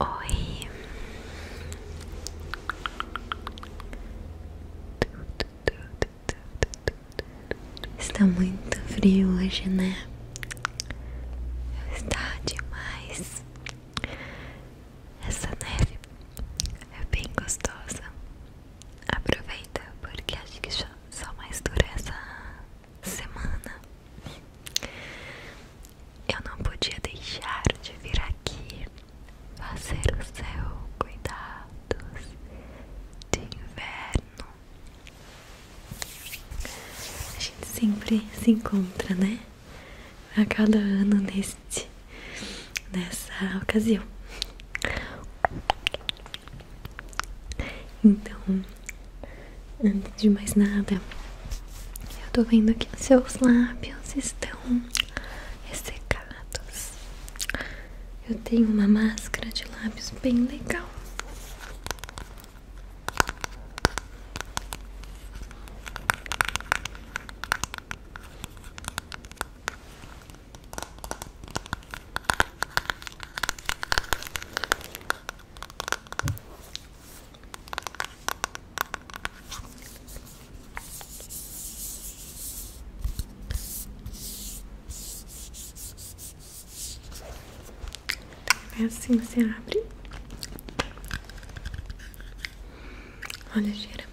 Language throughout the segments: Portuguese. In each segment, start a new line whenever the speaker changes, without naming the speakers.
Oi, está muito frio hoje, né? Está demais. Essa neve é bem gostosa. Aproveita, porque acho que só, mais dura essa semana. Eu não podia deixar de vir aqui fazer o céu cuidados de inverno. A gente sempre se encontra, né? A cada ano neste nessa ocasião. Então, antes de mais nada, eu tô vendo que seus lábios estão ressecados. Eu tenho uma máscara de lábios bem legal. É assim você abre. Olha, gira.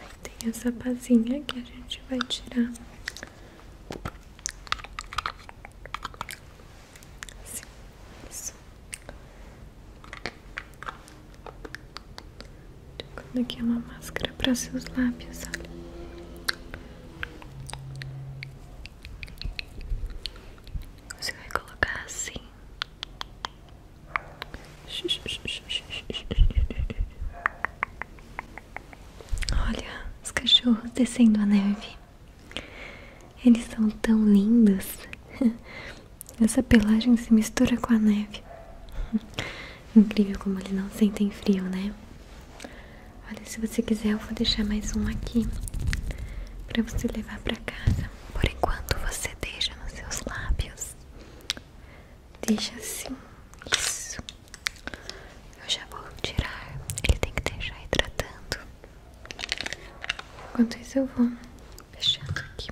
Aí tem essa pazinha que a gente vai tirar assim, isso. Colocando aqui é uma máscara para seus lábios, Você vai colocar assim Olha os cachorros descendo a neve. Eles são tão lindos. Essa pelagem se mistura com a neve. Incrível como eles não sentem frio, né? Olha, se você quiser, eu vou deixar mais um aqui para você levar para casa. Por enquanto você deixa nos seus lábios. Deixa assim. Isso. Eu já vou tirar. Ele tem que deixar hidratando. Enquanto isso eu vou fechando aqui.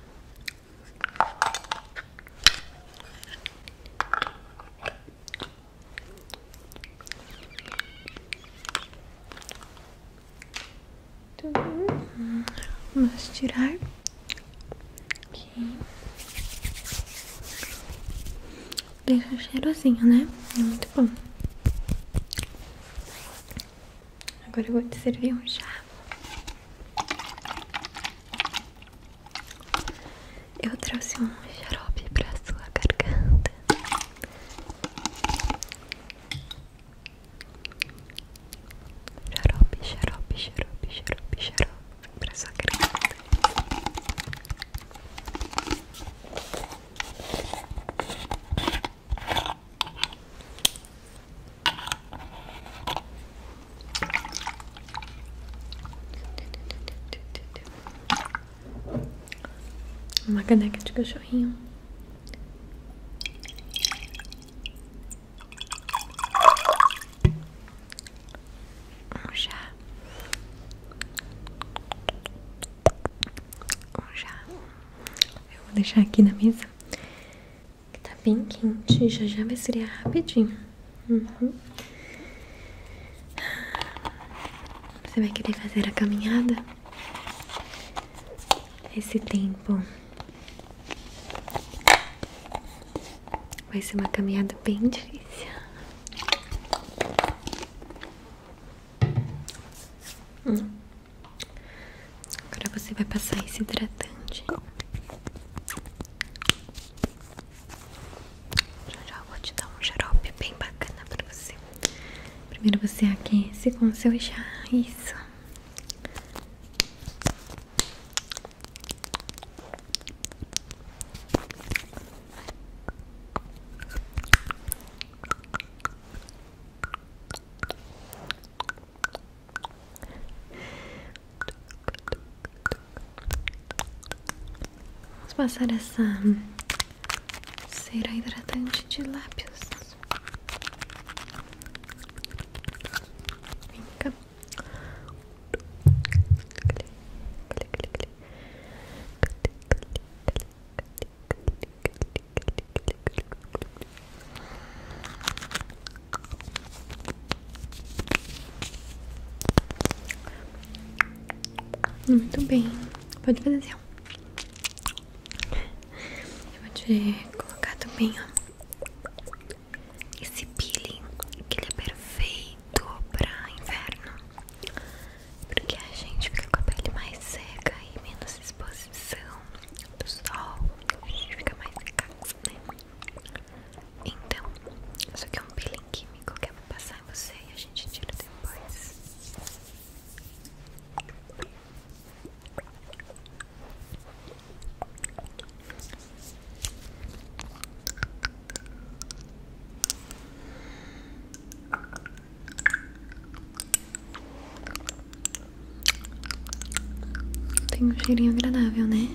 Uhum. Vamos tirar aqui. Deixa cheirozinho, né? Muito bom. Agora eu vou te servir um chá. Eu trouxe um xarope pra sua garganta. Xarope, xarope, xarope, xarope, xarope Pra sua criança uma caneca de cachorrinho um já, um já. Eu vou deixar aqui na mesa, que tá bem quente, já já vai esfriar rapidinho. Uhum. Você vai querer fazer a caminhada? Esse tempo vai ser uma caminhada bem difícil. Hum. Agora você vai passar esse hidratante. Já já vou te dar um xarope bem bacana pra você Primeiro você aquece com o seu chá, isso. Vamos passar essa Será hidratante de lábios. Vem cá. Muito bem, pode fazer assim. Eu vou te colocar também, ó. Esse peeling, que ele é perfeito pra inverno. Porque a gente fica com a pele mais seca e menos exposição do sol. A gente fica mais seca, né? Então, isso aqui é um peeling químico que eu vou passar em você e a gente tira depois. Tem um cheirinho agradável, né?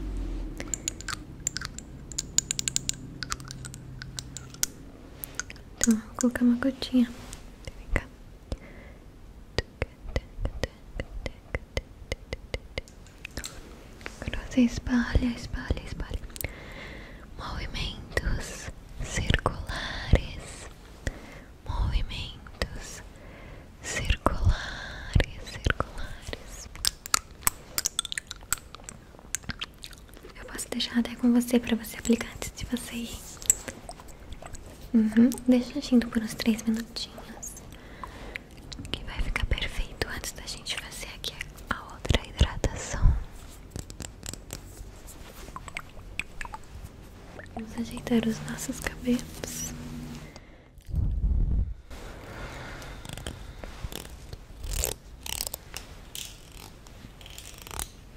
Então, vou uma gotinha Vem cá. Agora você espalha, espalha, espalha. Movimentos circulares. Movimentos circulares, circulares. Eu posso deixar até com você para você aplicar antes de você ir. Uhum. Deixa agindo por uns 3 minutinhos. Que vai ficar perfeito antes da gente fazer aqui a outra hidratação. Vamos ajeitar os nossos cabelos.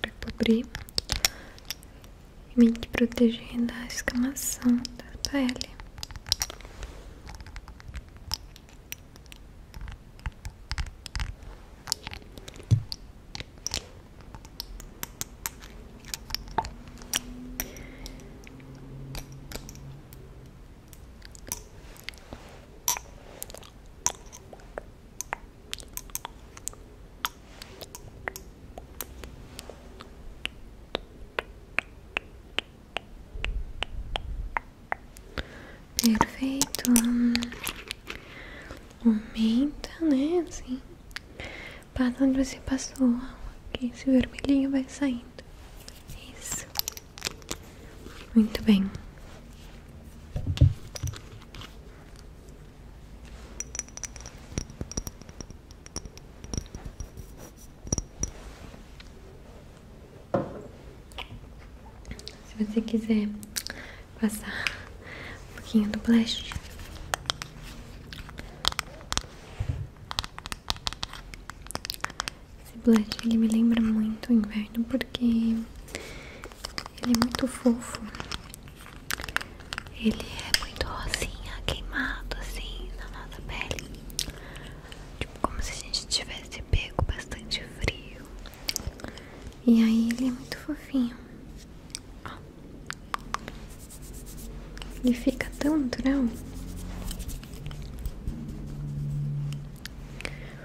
para cobrir e me proteger da escamação da pele. Perfeito. Hum, aumenta, né? Assim. Passa onde você passou. que esse vermelhinho vai saindo. Isso. Muito bem. Se você quiser passar um pouquinho do blush. Esse blush ele me lembra muito o inverno porque ele é muito fofo. Ele é muito rosinha, queimado assim na nossa pele. Tipo como se a gente tivesse pego bastante frio. E aí ele é muito fofinho. Ó. Ele fica tão natural.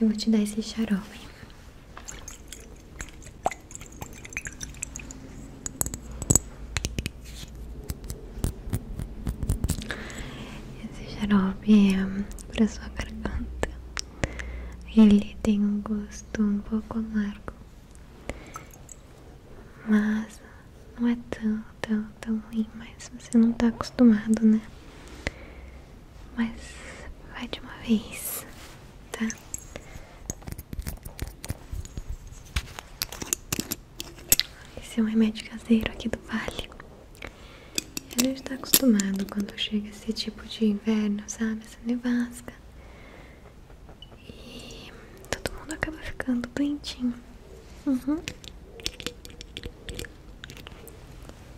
Eu vou te dar esse xarope. Esse xarope é para sua garganta. Ele tem um gosto um pouco amargo, mas não é tão, tão, tão ruim. Mas você não está acostumado, né? mas vai de uma vez, tá? Esse é um remédio caseiro aqui do Vale. Ele gente tá acostumado quando chega esse tipo de inverno, sabe? Essa nevasca. E todo mundo acaba ficando doentinho. Uhum.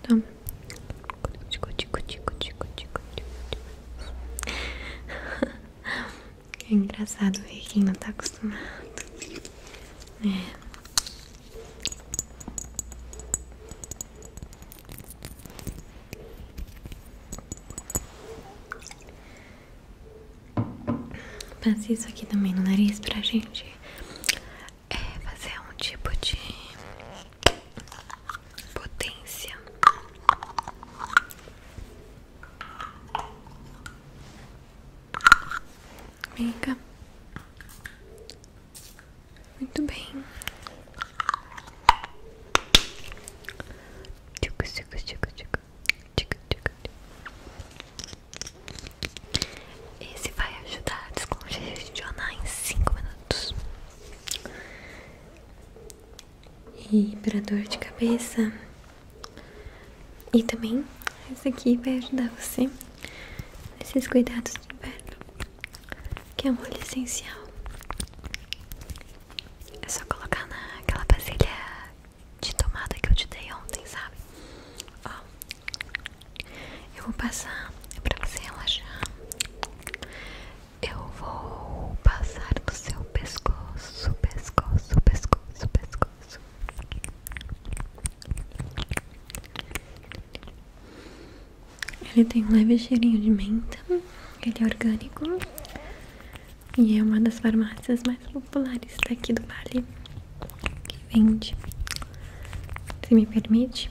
Tá. É engraçado ver quem não tá acostumado. É. Passa isso aqui também no nariz pra gente é fazer um tipo de potência. amiga. Muito bem. Tico, tico, tico, tico. Tico, tico, esse vai ajudar a descongestionar em 5 minutos. E para dor de cabeça. E também esse aqui vai ajudar você nesses cuidados do inverno, que é um óleo essencial. É só colocar naquela vasilha de tomada que eu te dei ontem, sabe? Ó, eu vou passar é pra você relaxar. Eu vou passar no seu pescoço, pescoço, pescoço, pescoço. Ele tem um leve cheirinho de menta, ele é orgânico e é uma das farmácias mais populares daqui do Vale que vende. Se me permite,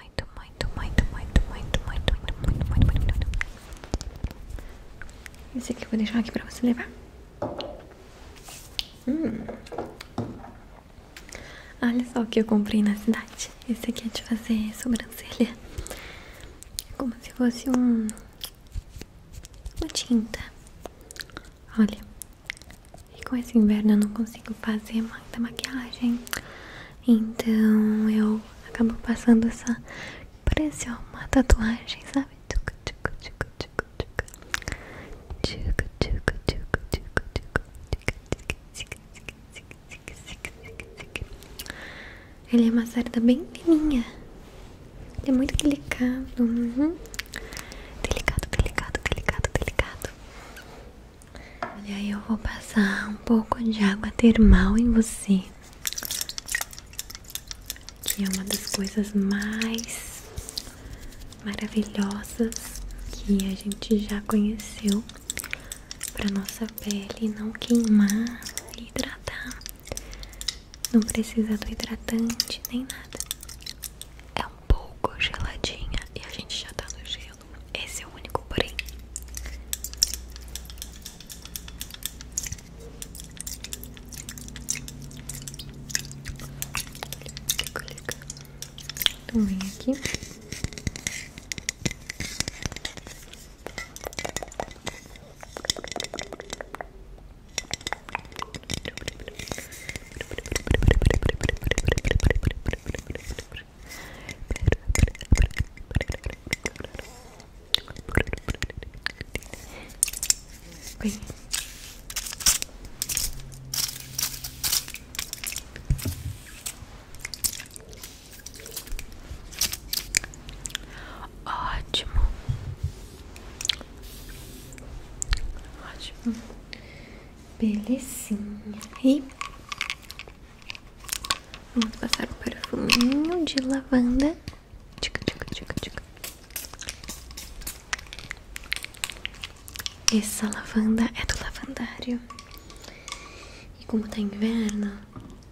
muito, muito, muito, muito, muito, muito, muito, muito, muito, muito. Esse aqui eu vou deixar aqui pra você levar. Olha só o que eu comprei na cidade. Esse aqui é de fazer sobrancelha. Como se fosse um. Uma tinta. Olha, e com esse inverno eu não consigo fazer muita maquiagem. Então eu acabo passando essa. Parece uma tatuagem, sabe? Ele é uma cerda bem fininha. Ele é muito delicado. Uhum. Delicado, delicado, delicado, delicado. Aí eu vou passar um pouco de água termal em você, que é uma das coisas mais maravilhosas que a gente já conheceu para nossa pele não queimar hidratar. Não precisa do hidratante nem nada. É um pouco geladinha e a gente já tá no gelo. Esse é o único, porém. Também então, aqui. Oi. Ótimo, ótimo. Belezinha. E vamos passar o perfuminho de lavanda. Tica, tica, tica, tica. Essa lavanda é do lavandário. E como tá inverno,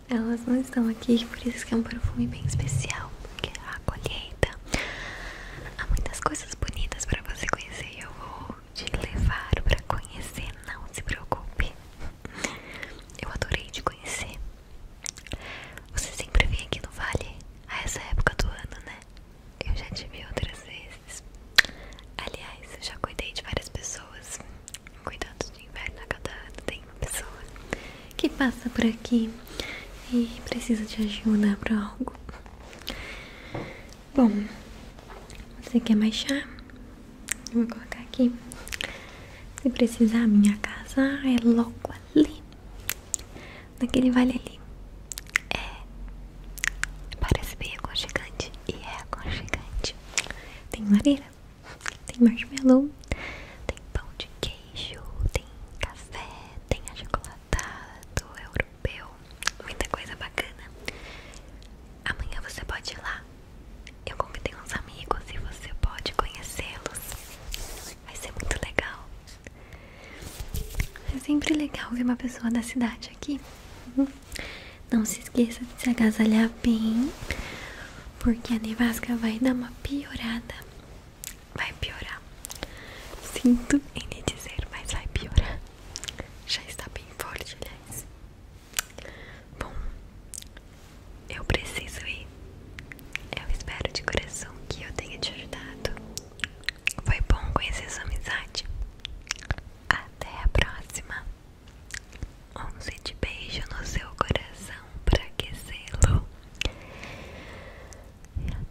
elas não estão aqui, por isso que é um perfume bem especial. Porque é a colheita há muitas coisas bonitas para você conhecer. eu vou vou te levar para conhecer, não se preocupe. Eu adorei te conhecer. Você sempre vem aqui no Vale ah, é a essa época do ano, né? Eu já te vi outras vezes. Aliás, eu já cuidei de várias pessoas. Cuidado de inverno a cada ano tem uma pessoa que passa por aqui e precisa de ajuda para algo. Bom, você quer mais chá? Eu vou colocar aqui. Se precisar, minha casa é logo ali. Naquele vale ali. É. Parece bem aconchegante. E é aconchegante. Tem madeira tem marshmallow, tem pão de queijo, tem café, tem chocolate Tá, do europeu, muita coisa bacana. Amanhã você pode ir lá. Eu convidei uns amigos e você pode conhecê-los. Vai ser muito legal. É sempre legal ver uma pessoa da cidade aqui. Uhum. Não se esqueça de se agasalhar bem, porque a nevasca vai dar uma piorada. Vai piorar. Sinto em lhe dizer, mas vai piorar. Já está bem forte, aliás. Bom, eu preciso ir. Eu espero de coração que eu tenha te ajudado. Foi bom conhecer sua amizade. Até a próxima. Onze de beijo no seu coração para aquecê-lo.